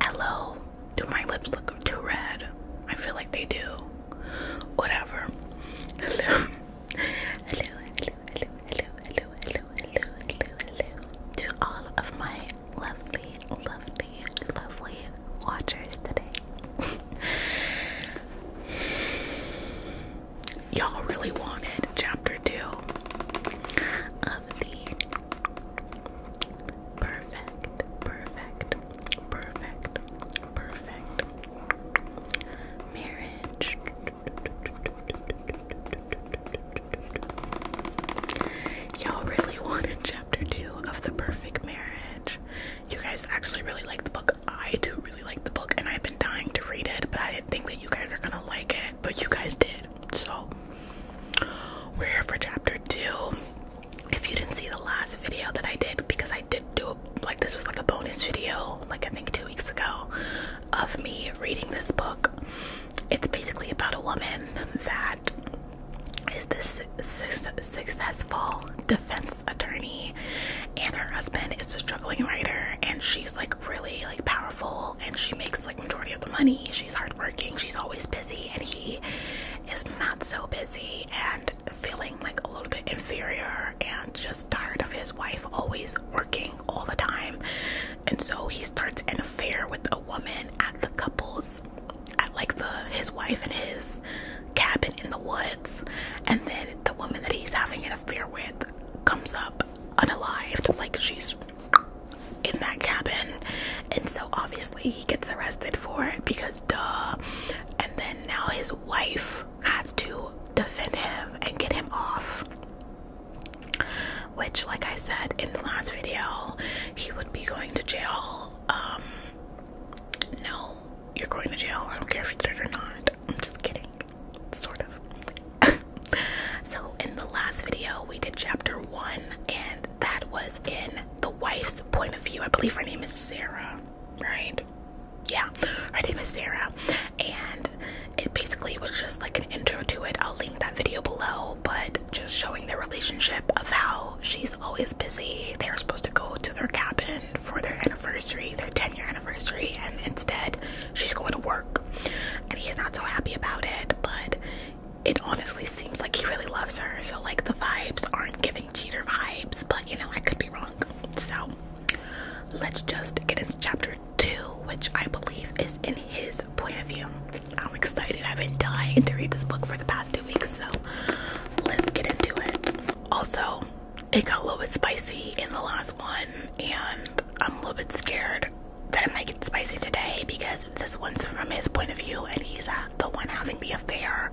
Hello. Do my lips look too red? I feel like they do. Whatever. Hello. Hello, hello, hello, hello, hello, hello, hello, To all of my lovely, lovely, lovely watchers today. y'all really wanted chapter two of the perfect, perfect, perfect, perfect marriage. Y'all really wanted chapter two of the perfect marriage. You guys actually really like the book. I do really like the book, and I've been dying to read it, but I didn't think that you guys are gonna like it but you guys did. So we're here for chapter two. If you didn't see the last video that I did, because I did do like this was like a bonus video, like I think two weeks ago, of me reading this book. It's basically about a woman that is this successful defense attorney, and her husband is a struggling writer, and she's like really like powerful and she makes like majority of the money. She's hardworking. She's always busy, and he is not so busy and feeling like a little bit inferior and just tired of his wife always working all the time. And so he starts an affair with a woman at the couple's at like the his wife and his cabin in the woods and then the woman that he's having an affair with comes up unalived like she's in that cabin. And so obviously he gets arrested for it because duh. And then now his wife has to defend him and get him off. Which, like I said in the last video, he would be going to jail. Um, no, you're going to jail. I don't care if you did it or not. I'm just kidding sort of. so, in the last video, we did chapter one, and that was in the wife's point of view. I believe her name is Sarah, right? Yeah, her name is Sarah, and it basically was just like an intro to it. I'll link that video below, but just showing their relationship of how she's always busy. They're supposed to go to their cabin for their anniversary, their 10 year anniversary, and instead she's going to work and he's not so happy about it but it honestly seems like he really loves her so like the vibes aren't giving cheater vibes but you know i could be wrong so let's just get into chapter two which i believe is in his point of view i'm excited i've been dying to read this book for the past two weeks so let's get into it also it got a little bit spicy in the last one and i'm a little bit scared that I might get spicy today because this one's from his point of view and he's the one having the affair.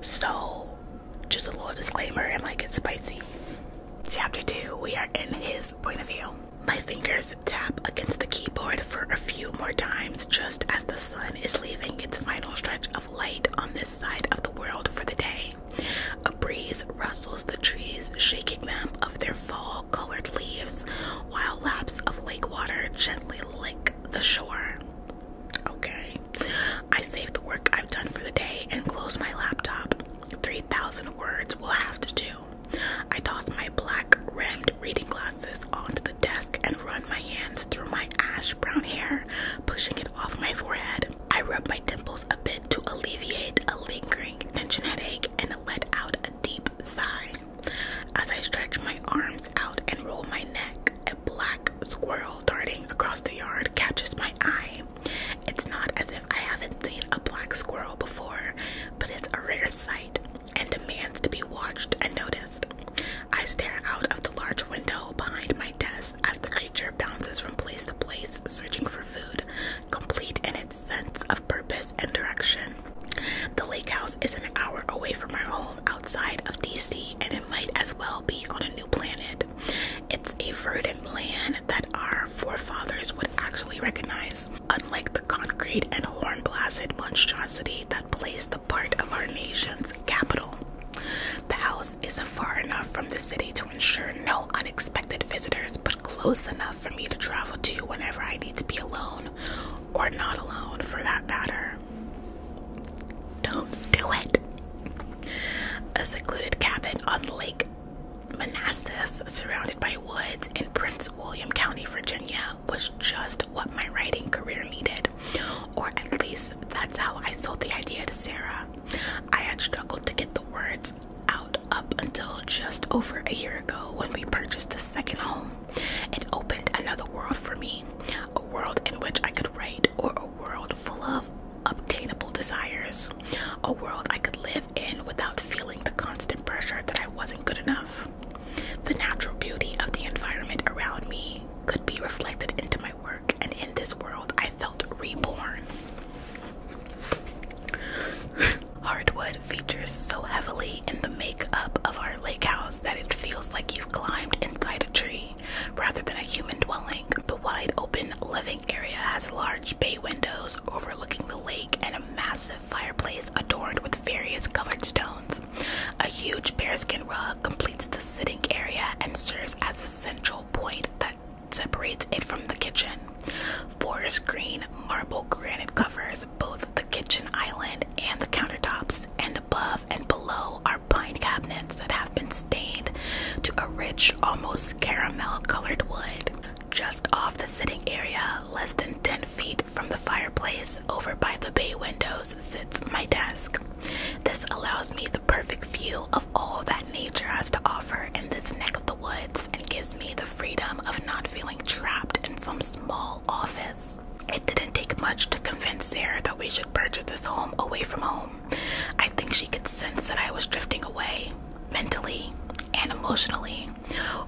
So, just a little disclaimer it might get spicy. Chapter 2 We are in his point of view. My fingers tap against the keyboard for a few more times just as the sun is leaving its final stretch of light on this side of the world for the day. A breeze rustles the trees, shaking them of their fall colored leaves, while laps of lake water gently lick the shore. Okay. I save the work I've done for the day and close my laptop. 3,000 words will have to do. I toss my black rimmed reading glasses onto the desk and run my hands through my ash brown hair, pushing it off my forehead. I rub my temples a bit to alleviate a lingering tension headache and let out a deep sigh. As I stretch my arms out and roll my neck, a black squirrel darting across the yard catches my eye. It's not as if I haven't seen a black squirrel before, but it's a rare sight and demands to be watched and noticed. I stare out of the large window behind my desk as the creature bounces from place to place, searching for food, complete in its sense of purpose and direction. The lake house is an hour away from our home outside of DC, and it might as well be on a new planet. It's a verdant land that our forefathers would actually recognize, unlike the concrete and horn blasted monstrosity that plays the part of our nation's capital. The house is far enough from the city to ensure no unexpected visitors, but close enough for me to travel to whenever I need to be alone or not alone for that matter. Don't do it. A secluded cabin on the lake Manassas, surrounded by woods in Prince William County, Virginia, was just what my writing career needed. Or at least that's how I sold the idea to Sarah. I had struggled to get the words out up until just over a year ago when we purchased the second home. It opened another world for me a world in which I could write, or a world full of obtainable desires, a world I could live in without feeling the constant pressure that I wasn't good enough. The natural beauty of the environment around me could be reflected into my work, and in this world, I felt reborn. Hardwood features so heavily in the makeup of our lake house that it feels like you've climbed inside a tree rather than a human dwelling. The wide open living area has large bay windows overlooking the lake and a massive fireplace adorned with various colored stones. A huge bearskin rug completes the sitting area and serves as the central point that separates it from the kitchen. Forest green marble granite covers both the kitchen island and the countertops, and above and below are pine cabinets that have been stained to a rich, almost caramel colored wood. Just off the sitting area, less than 10 feet from the fireplace, over by the bay windows, sits my desk. This allows me the perfect view of all that nature has to offer in this neck of the woods and gives me the freedom of not feeling trapped in some small office. It didn't take much to convince Sarah that we should purchase this home away from home. I think she could sense that I was drifting away, mentally and emotionally.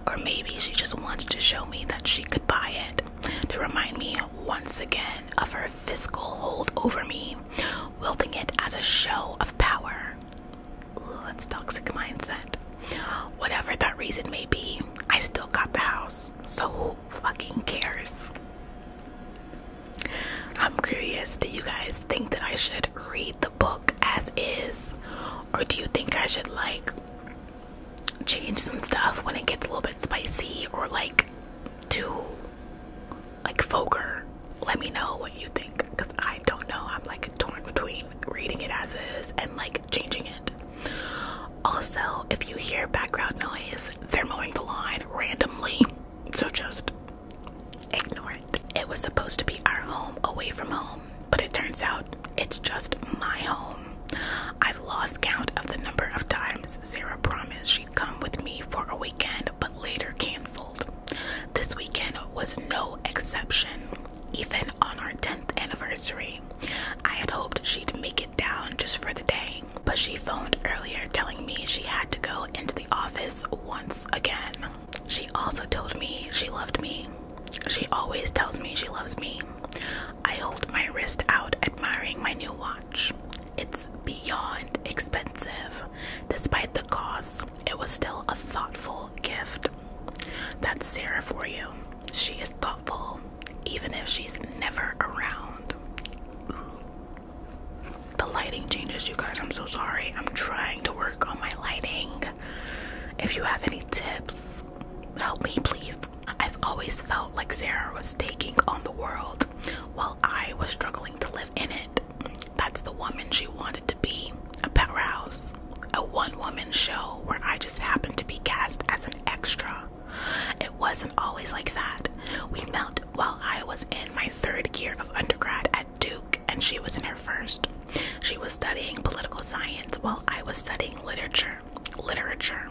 Or maybe she just wants to show me that she could buy it, to remind me once again of her fiscal hold over me, wielding it as a show of power that's toxic mindset. Whatever that reason may be, I still got the house. So who fucking cares? I'm curious, do you guys think that I should read the book as is? Or do you think I should like change some stuff when it gets a little bit spicy or like too like vulgar? let me know what you think because I don't know. I'm like torn between reading it as is and like changing it. Also, if you hear background noise, they're mowing the lawn randomly, so just ignore it. It was supposed to be our home away from home, but it turns out it's just my home. I've lost count of the number of times Sarah promised she'd come with me for a weekend but later canceled. This weekend was no exception, even on our 10th anniversary. I had hoped she'd make it down just for the day, but she phoned earlier telling me she had to go into the office once again. She also told me she loved me. She always tells me she loves me. I hold my wrist out, admiring my new watch. It's beyond expensive. Despite the cost, it was still a thoughtful gift. That's Sarah for you. She is thoughtful, even if she's never around. The lighting changes, you guys. I'm so sorry. I'm trying to work on my lighting. If you have any tips, help me, please. I've always felt like Sarah was taking on the world while I was struggling to live in it that's the woman she wanted to be a pet rouse, a one woman show where I just happened to be cast as an extra. It wasn't always like that. We met while I was in my third year of undergrad at Duke, and she was in her first. She was studying political science while I was studying literature. Literature.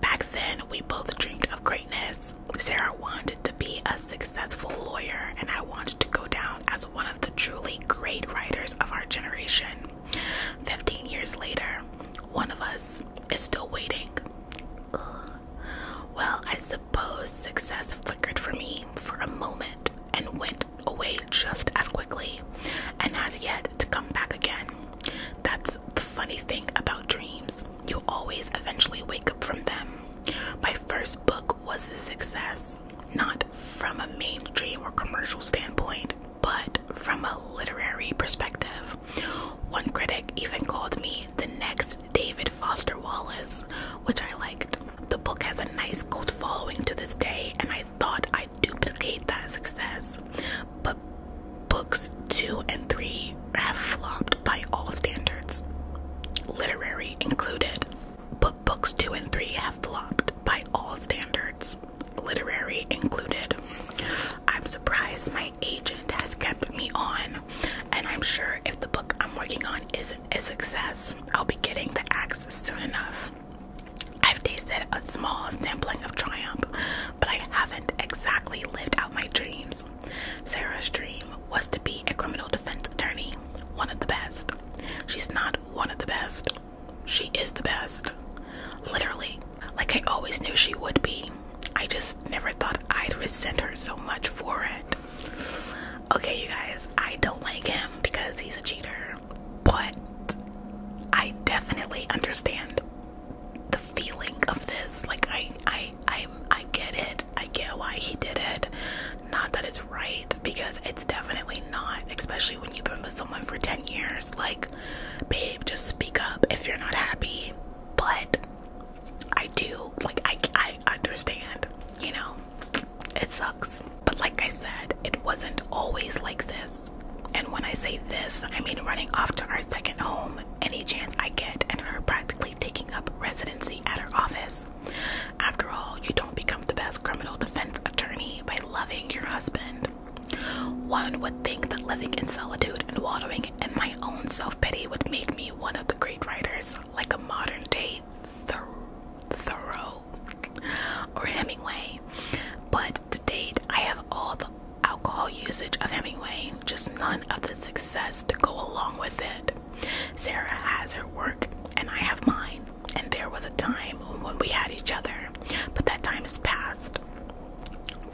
Back then, we both dreamed of greatness. Sarah wanted to be a successful lawyer, and I wanted to go down as one of the truly great, writers of our generation. 15 years later, one of us is still waiting. Well, I suppose success flickered for me for a moment and went away just as quickly and has yet to come back again. That's the funny thing about dreams. You always eventually wake up from them. My first book was a success, not from a mainstream or commercial standpoint, but from a literary perspective. One critic even called me the next David Foster Wallace, which I liked. The book has a nice cult following to this day, and I thought I'd duplicate that success. But books two and three have flopped by all standards, literary included but books two and three have flopped by all standards, literary included. I'm surprised my agent has kept me on, and I'm sure if the book I'm working on isn't a success, I'll be getting the axe soon enough. I've tasted a small sampling of triumph, but I haven't exactly lived out my dreams. Sarah's dream was to be a criminal defense attorney, one of the best. She's not one of the best. She is the best. Literally. Like I always knew she would be. I just never thought I'd resent her so much for it. Okay, you guys, I don't like him because he's a cheater. But I definitely understand the feeling of this. Like I I I I get it. I get why he did it. Not that it's right, because it's definitely not, especially when you've been with someone for 10 years. Like, babe, just speak up if you're not happy. But I do, like, I, I understand, you know, it sucks. But like I said, it wasn't always like this. And when I say this, I mean running off to our second home any chance I get, and her practically taking up residency at her office. After all, you don't become the best criminal defense attorney by loving your husband. One would think that living in solitude and wallowing in my own self pity would make me one of the great writers, like a modern day Thoreau or Hemingway. But to date, I have all the alcohol usage of Hemingway, just none of the success to go along with it. Sarah has her work and I have mine. And there was a time when we had each other, but that time is past.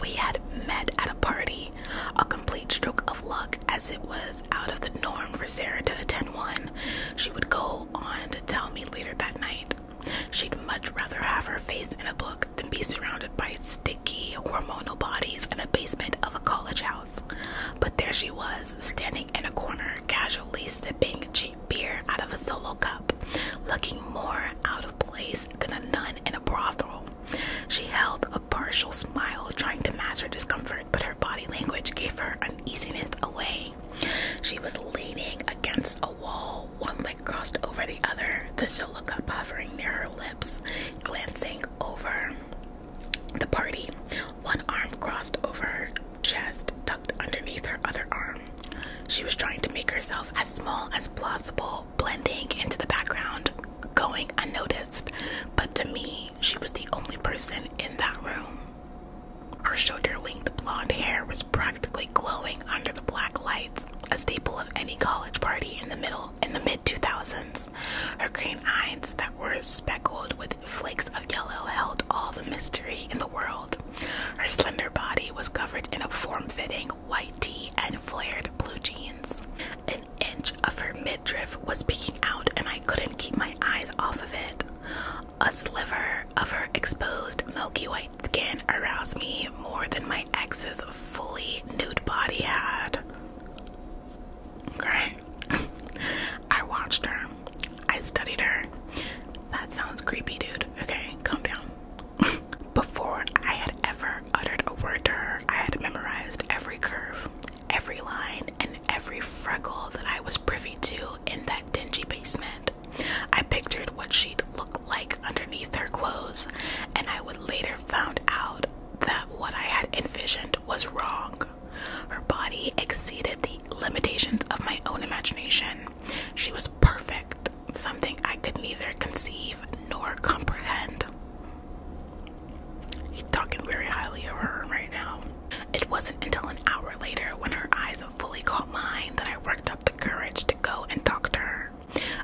We had met at a party, a complete stroke of luck, as it was out of the norm for Sarah to attend one. She would go on to tell me later that night. She'd much rather have her face in a book than be surrounded by sticky hormonal bodies in a basement of a college house. But there she was, standing in a corner casually sipping a cheap beer out of a solo cup, looking more out of place than a nun in a brothel. She held a partial smile, trying to mask her discomfort, but her body language gave her uneasiness away. She was leaning against a wall, one leg crossed over the other, the solo cup hovering near her lips, glancing over the party, one arm crossed over her chest, tucked underneath her other arm. She was trying to make herself as small as possible, blending into the background, going unnoticed. But to me, she was the only person in that room. Her shoulder length blonde hair was practically glowing under the black lights, a staple of any college party in the middle in the mid 2000s. Her green eyes that were speckled with flakes of yellow held all the mystery in the world. Her slender body was covered in a form fitting white tee and flared blue jeans. An inch of her midriff was peeking out, and I couldn't keep my eyes off of it. A sliver of her exposed milky white skin aroused me more than my ex's fully nude body had. Okay. I watched her. I studied her. That sounds creepy, dude. Okay, calm down. Before I had ever uttered a word to her, I had memorized every curve, every line, and every freckle that I was privy to in that dingy basement. I pictured what she'd look like underneath her clothes, and I would later found out that what I had envisioned was wrong. Her body exceeded the limitations of my own imagination. She was perfect, something I could neither conceive nor comprehend. He's talking very highly of her right now. It wasn't until an hour later when her eyes fully caught mine that I worked up the courage to go and talk to her.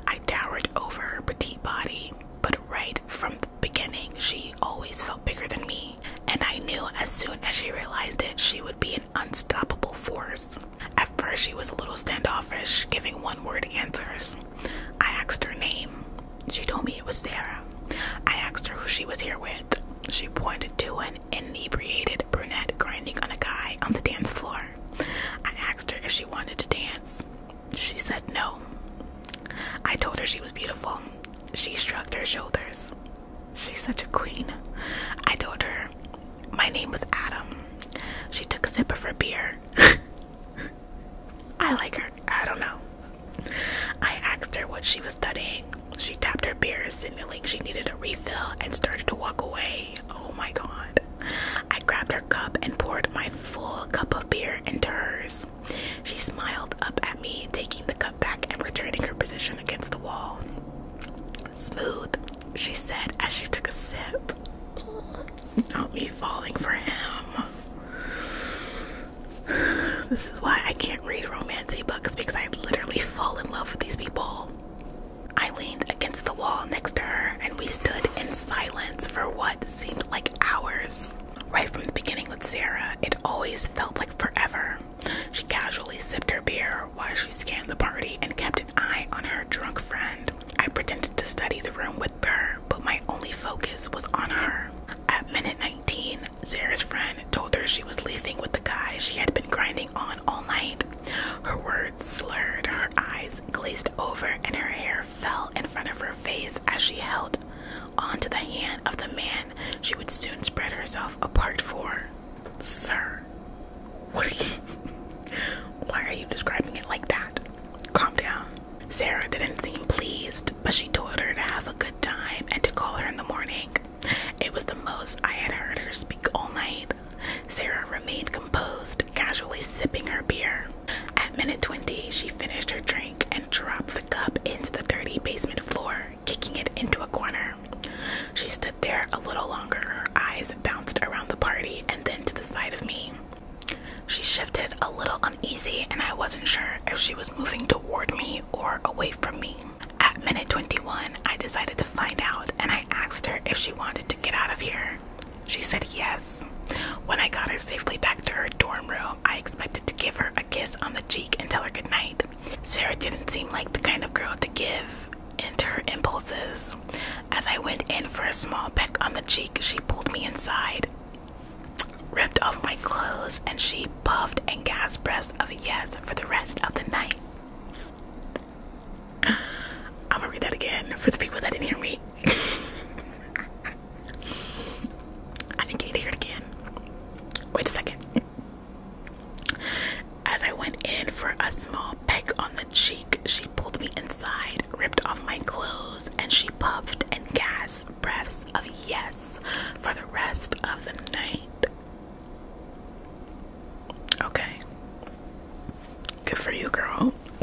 I towered over her petite body, but right from the beginning, she always felt bigger than me, and I knew as soon as she realized it, she would be an unstoppable force. At first, she was a little standoffish, giving one word answers. I asked her name. She told me it was Sarah. I asked her who she was here with. She pointed to an inebriated brunette grinding on a guy on the dance floor. I asked her if she wanted to dance. She said no. I told her she was beautiful. She shrugged her shoulders. She's such a queen. I told her my name was Adam. She took a sip of her beer. I like her. I don't know. I asked her what she was studying. She tapped her beer, signaling she needed a refill, and started to walk away. Oh my god. I grabbed her cup and poured my full cup of beer into hers. She smiled up at me, taking the cup back and returning her position against the wall. Smooth, she said as she took a sip. Not me falling for him. This is why I can't read romance books because I literally fall in love with these people. I leaned against the wall next to her and we stood in silence for what seemed like hours. Right from the beginning with Sarah, it always felt like forever. She casually sipped her beer while she scanned the party and kept an eye on her drunk friend. I pretended to study the room with her, but my only focus was on her. At minute 19, Sarah's friend told her she was leaving with the guy she had been grinding on all night. Her words slurred, her eyes glazed over, and her hair fell in front of her face as she held onto the hand of the man she would soon spread herself apart for. Sir, what why are you describing it like that? Calm down. Sarah didn't seem pleased, but she told her to have a good time and to call her in the morning. It was the most I had heard her speak all night. Sarah remained composed, casually sipping her beer. At minute 20, she finished her drink and dropped the cup into the dirty basement floor kicking it into a corner. She stood there a little longer, her eyes bounced around the party and then to the side of me. She shifted a little uneasy, and I wasn't sure if she was moving toward me or away from me. At minute 21, I decided to find out and I asked her if she wanted to get out of here. She said yes. When I got her safely back to her dorm room, I expected to give her a kiss on the cheek and tell her goodnight. Sarah didn't seem like the kind of girl to give into her impulses. As I went in for a small peck on the cheek, she pulled me inside, ripped off my clothes, and she puffed and gasped breaths of yes for the rest of the night. I'm gonna read that again for the people that didn't hear me. I think you need it again. Wait a second. As I went in for a small peck on the cheek, she pulled me inside, ripped off my clothes, and she puffed and gasped breaths of yes for the rest of the night. Okay. Good for you, girl.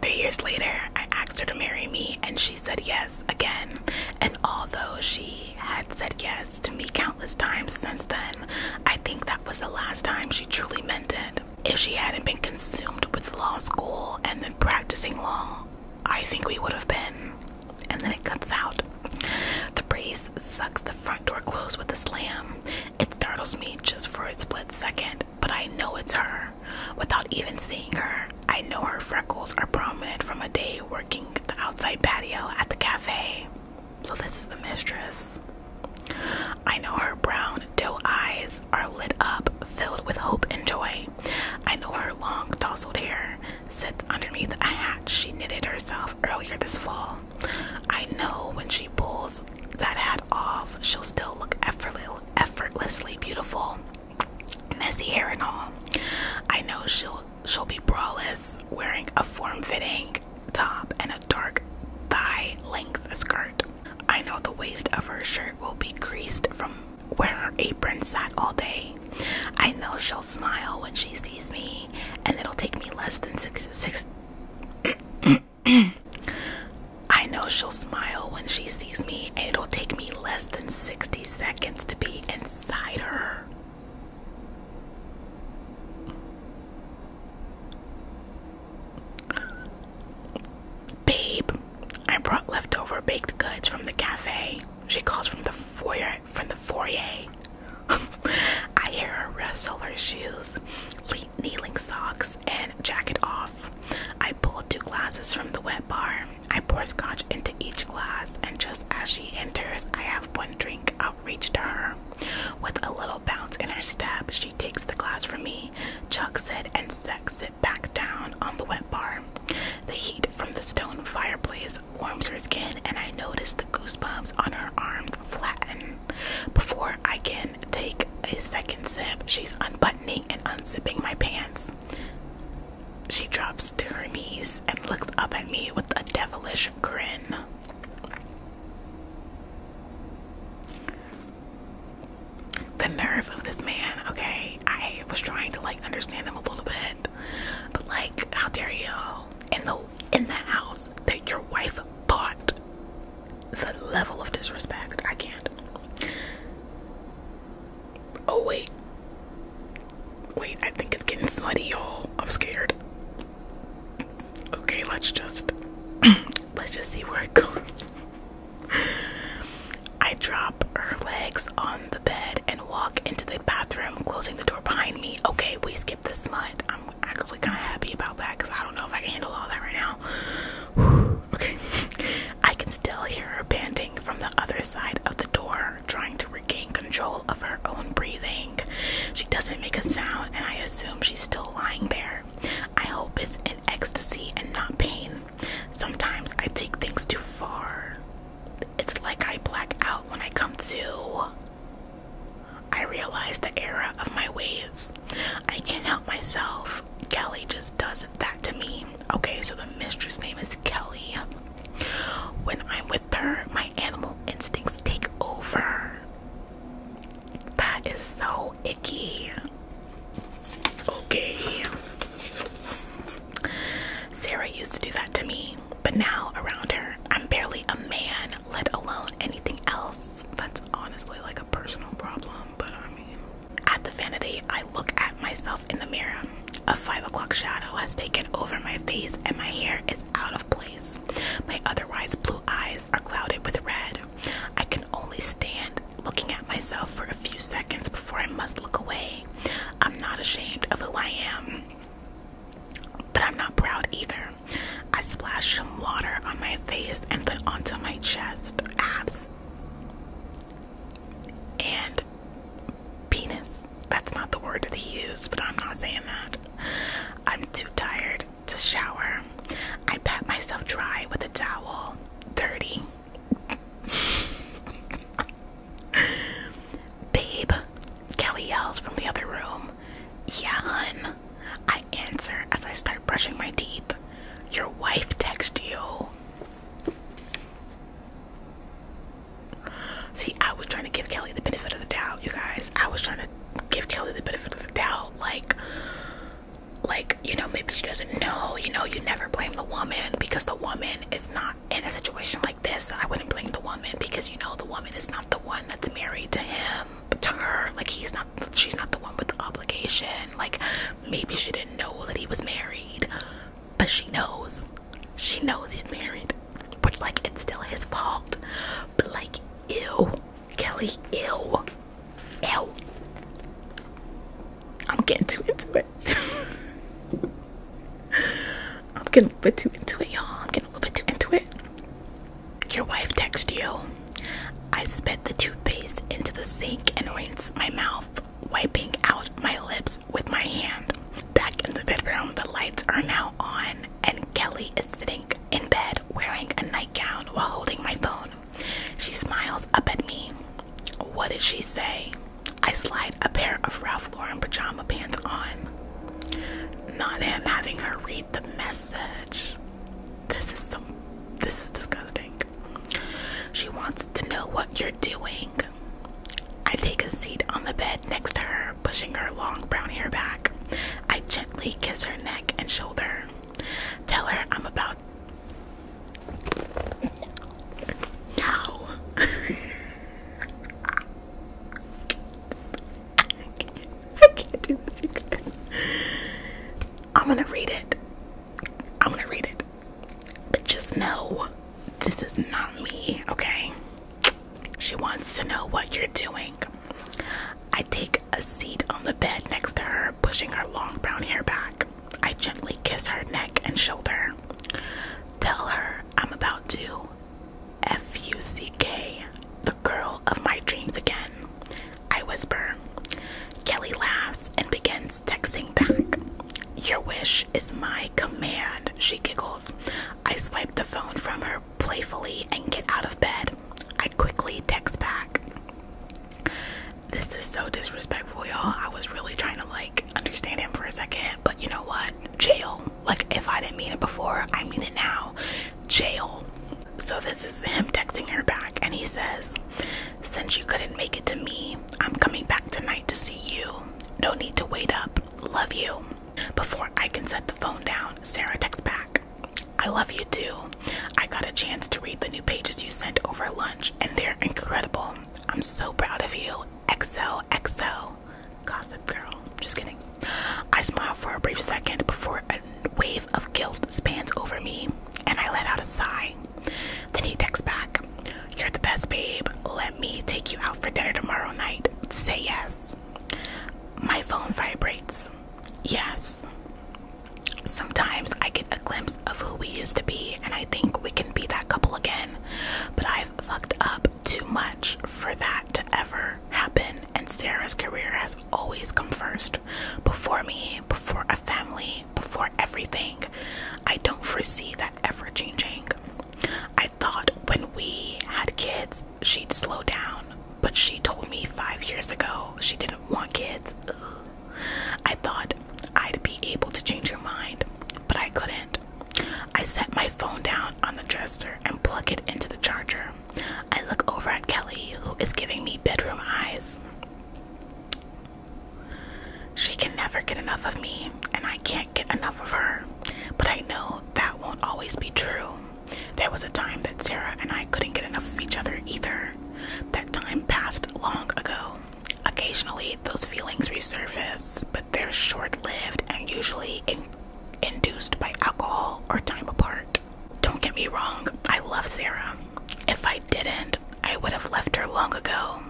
Three years later, I asked her to marry me, and she said yes again. And although she had said yes to me countless times since then, I think that was the last time she truly meant it. If she hadn't been consumed with law school and then practicing law, I think we would have been. And then it cuts out. The breeze sucks the front door closed with a slam. It startles me just for a split second, but I know it's her. Without even seeing her, I know her freckles are prominent from a day working the outside patio at the cafe. So, this is the mistress. I know her brown doe eyes are lit up, filled with hope and joy. I know her long, tousled hair sits underneath a hat she knitted herself earlier this fall. I know when she pulls that hat off, she'll still look effortlessly beautiful, messy hair and all. I know she'll she'll be braless, wearing a form fitting top and a dark thigh length skirt. I know the waist of her shirt will be creased from where her apron sat all day. I know she'll smile when she sees me, and it'll take me less than six. I know she'll smile when she sees me, and it'll take me less than 60 seconds to be inside her. Babe, I brought leftover baked goods from the cafe. She calls from the foyer from the foyer. I hear her rustle her shoes, kneeling socks, and jacket off. I pull two glasses from the wet bar. I pour scotch into each glass, and just as she enters, I have one drink outreach to her. With a little bounce in her step, she takes the glass from me, chucks it, and sets it back down on the wet bar. The heat from the stone fireplace warms her skin, and I notice the goosebumps on her arms flatten. Before I can take a second sip, she's unbuttoning and unzipping my pants. She drops to her knees and looks up at me with a devilish grin. The nerve of this man, okay? I was trying to like understand him a little bit. But like, how dare you? In the in the house that your wife bought. The level of disrespect. I can't. Oh wait. Wait, I think it's getting smutty, y'all. I'm scared. Okay, let's just let's just see where it goes. I drop her legs on the bed and walk into the bathroom, closing the door behind me. Okay, we skipped the smut. I'm actually kind of happy about that because I don't know if I can handle all that right now. okay, I can still hear her panting from the other side of the door trying to regain control of her own breathing. She doesn't make a sound, and I assume she's still lying there. I hope it's in ecstasy and not pain. Sometimes I take things too far. It's like I black out when I come to. I realize the error of my ways. I can't help myself. Kelly just does that to me. Okay, so the mistress' name is Kelly. When I'm with her, my animal instincts take over. That is so icky. Okay. Sarah used to do that to me, but now around her, I'm barely a man, let alone anything else. That's honestly like a personal problem, but I mean. At the vanity, I look at myself in the mirror. A five o'clock shadow has taken over my face and my hair is out of place. My otherwise blue eyes are clouded with red. I can only stand looking at myself for a few seconds before I must look away. I'm not ashamed of who I am, but I'm not proud either. I splash some water on my face and put onto my chest, abs, and penis that's not the word that he used, but I'm not saying that. I'm too tired to shower. I pat myself dry with a towel. Dirty. Babe, Kelly yells from the other room. Yeah, hun. I answer as I start brushing my teeth. Your wife texts you. See, I was trying to give Kelly the benefit of the doubt, you guys. I was trying to give Kelly the benefit of the doubt, like, like you know, maybe she doesn't know. You know, you never blame the woman because the woman is not in a situation like this. I wouldn't blame the woman because you know the woman is not the one that's married to him, to her. Like he's not, she's not the one with the obligation. Like maybe she didn't know that he was married but she knows. She knows he's married. Which, like, it's still his fault. But, like, ew. Kelly, ew. Ew. I'm getting too into it. I'm getting a little bit too into it, y'all. I'm getting a little bit too into it. Your wife texts you. I spit the toothpaste into the sink and rinse my mouth, wiping out my lips with my hand. Back in the bedroom, the lights are now on, and Kelly is sitting in bed wearing a nightgown while holding my phone. She smiles up at me. What did she say? I slide a pair of Ralph Lauren pajama pants on. Not him having her read the message. This is some this is disgusting. She wants to know what you're doing. I take a seat on the bed next to her, pushing her long brown hair back. I gently kiss her neck and shoulder. Tell her I'm about. No! I can't do this, you guys. I'm gonna read it. I'm gonna read it. But just know this is not me, okay? She wants to know what you're doing. I take a seat on the bed next to her, pushing her long brown hair back. I gently kiss her neck and shoulder. Tell her I'm about to F U C K, the girl of my dreams again. I whisper. Kelly laughs and begins texting back. Your wish is my command, she giggles. I swipe the phone from her playfully and get out of bed. I quickly text back. This is so disrespectful, y'all. I was really trying to like understand him for a second, but you know what? Jail. Like, if I didn't mean it before, I mean it now. Jail. So, this is him texting her back, and he says, Since you couldn't make it to me, I'm coming back tonight to see you. No need to wait up. Love you. Before I can set the phone down, Sarah texts back. I love you too. I got a chance to read the new pages you sent over lunch, and they're incredible. I'm so proud of you. Excel, excel. Gossip girl. Just kidding. I smile for a brief second before a wave of guilt spans over me, and I let out a sigh. Then he texts back. You're the best, babe. Let me take you out for dinner tomorrow night. Say yes. My phone vibrates. Yes. Sometimes I get a glimpse of who we used to be, and I think we can be that couple again. But I've fucked up too much for that to ever happen, and Sarah's career has always come first. Before me, before a family, before everything. I don't foresee that ever changing. I I thought when we had kids, she'd slow down, but she told me five years ago she didn't want kids. I thought I'd be able to change her mind, but I couldn't. I set my phone down on the dresser and plug it into the charger. I look over at Kelly, who is giving me bedroom eyes. She can never get enough of me, and I can't get enough of her. But I know that won't always be true. There was a time that Sarah and I couldn't get enough of each other either. That time passed long ago. Occasionally, those feelings resurface, but they're short lived and usually induced by alcohol or time apart. Don't get me wrong, I love Sarah. If I didn't, I would have left her long ago.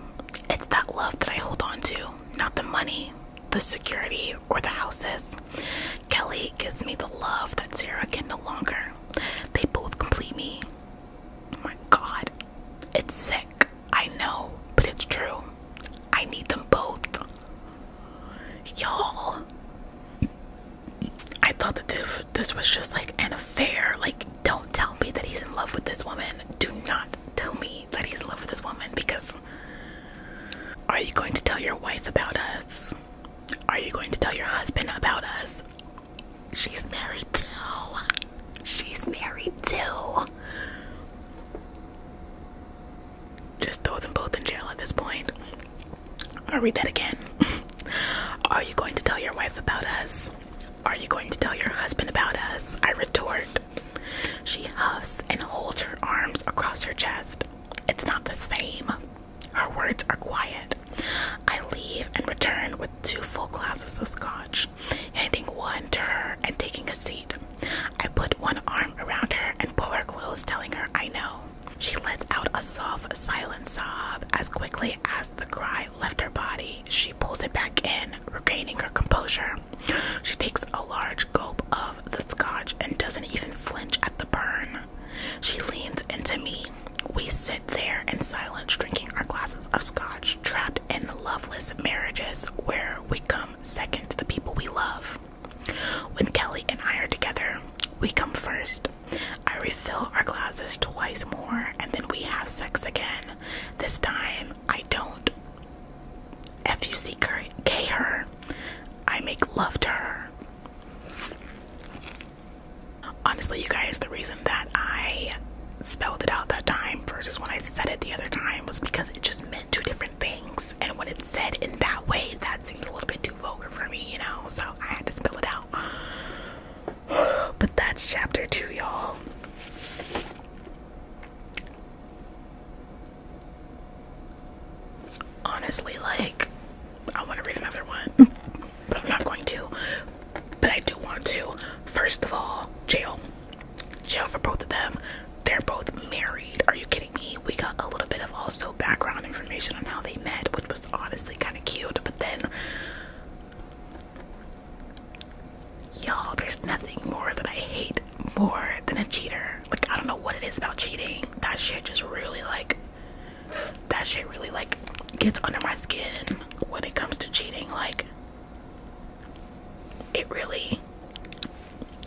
It's that love that I hold on to, not the money, the security or the houses. Kelly gives me the love that Sarah can no longer. They both complete me. Oh my god. It's sick. I know, but it's true. I need them both. Y'all. I thought that this was just like an affair. Like, don't tell me that he's in love with this woman. Do not tell me that he's in love with this woman because are you going to tell your wife about us? Are you going to tell your husband about us? She's married too. She's married too. Just throw them both in jail at this point. I'll read that again. Are you going to tell your wife about us? Are you going to tell your husband about us? I retort. She huffs and holds her arms across her chest. It's not the same. Her words are quiet. I leave and return with two full glasses of scotch, handing one to her and taking a seat. I put one arm around her and pull her close, telling her I know. She lets out a soft, silent sob. As quickly as the cry left her body, she pulls it back in, regaining her composure. She takes a large gulp of the scotch and doesn't even flinch at the burn. She leans into me. We sit there in silence, drinking our glasses of scotch, trapped in loveless marriages where we come second to the people we love. When Kelly and I are together, we come first. I refill our glasses twice more, and then we have sex again. This time, I don't F U C K her. I make love to her. Honestly, you guys, the reason that I spelled it out that time versus when I said it the other time was because it just meant two different things. And when it's said in that way, that seems a little bit too vulgar for me, you know? So I had to spell it out. But that's chapter two, y'all. Honestly, like, I want to read another one, but I'm not going to. But I do want to. First of all, jail. Jail for both of them. They're both married. Are you kidding me? We got a little bit of also background information on how they met, which was honestly kind of cute, but then Y'all, there's nothing more that I hate more than a cheater. Like, I don't know what it is about cheating. That shit just really, like, that shit really, like, gets under my skin when it comes to cheating. Like, it really,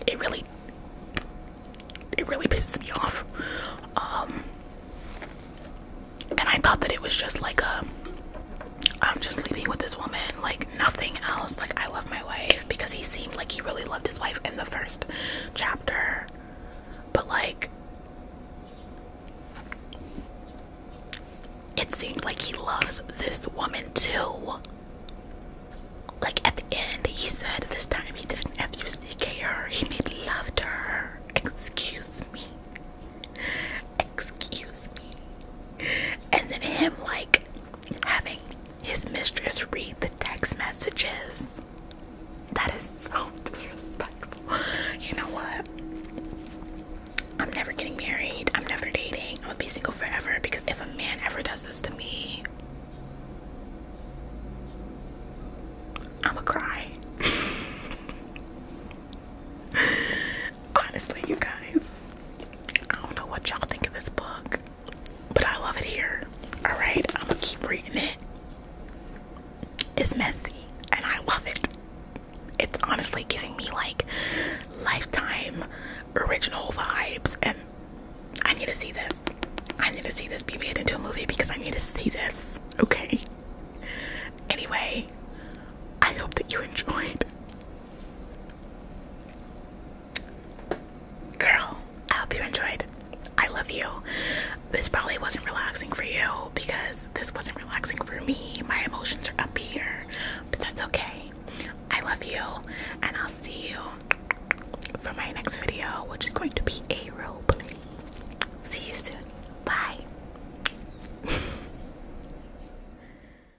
it really, it really pisses me off. Um, and I thought that it was just like a, I'm just sleeping with this woman, like nothing else. Like, I love my wife because he seemed like he really loved his wife in the first chapter, but like, it seems like he loves this woman too. Like, at the end, he said this time he didn't absolutely care, he made love to her. Excuse me, excuse me and then him like having his mistress read the text messages. That is so disrespectful. You know what? I'm never getting married. I'm never dating. I'm gonna be single forever because if a man ever does this to me, I'ma cry. Honestly, you guys, I don't know what y'all think of this book, but I love it here. All right, I'm gonna keep reading it. It's messy, and I love it. It's honestly giving me like lifetime original vibes, and I need to see this. I need to see this be made into a movie because I need to see this. Okay. Anyway, I hope that you enjoyed. Girl, I hope you enjoyed. I love you. This probably wasn't relaxing for you because this wasn't relaxing for me. My emotions are up here, but that's okay. I love you, and I'll see you for my next video, which is going to be a role play. See you soon. Bye.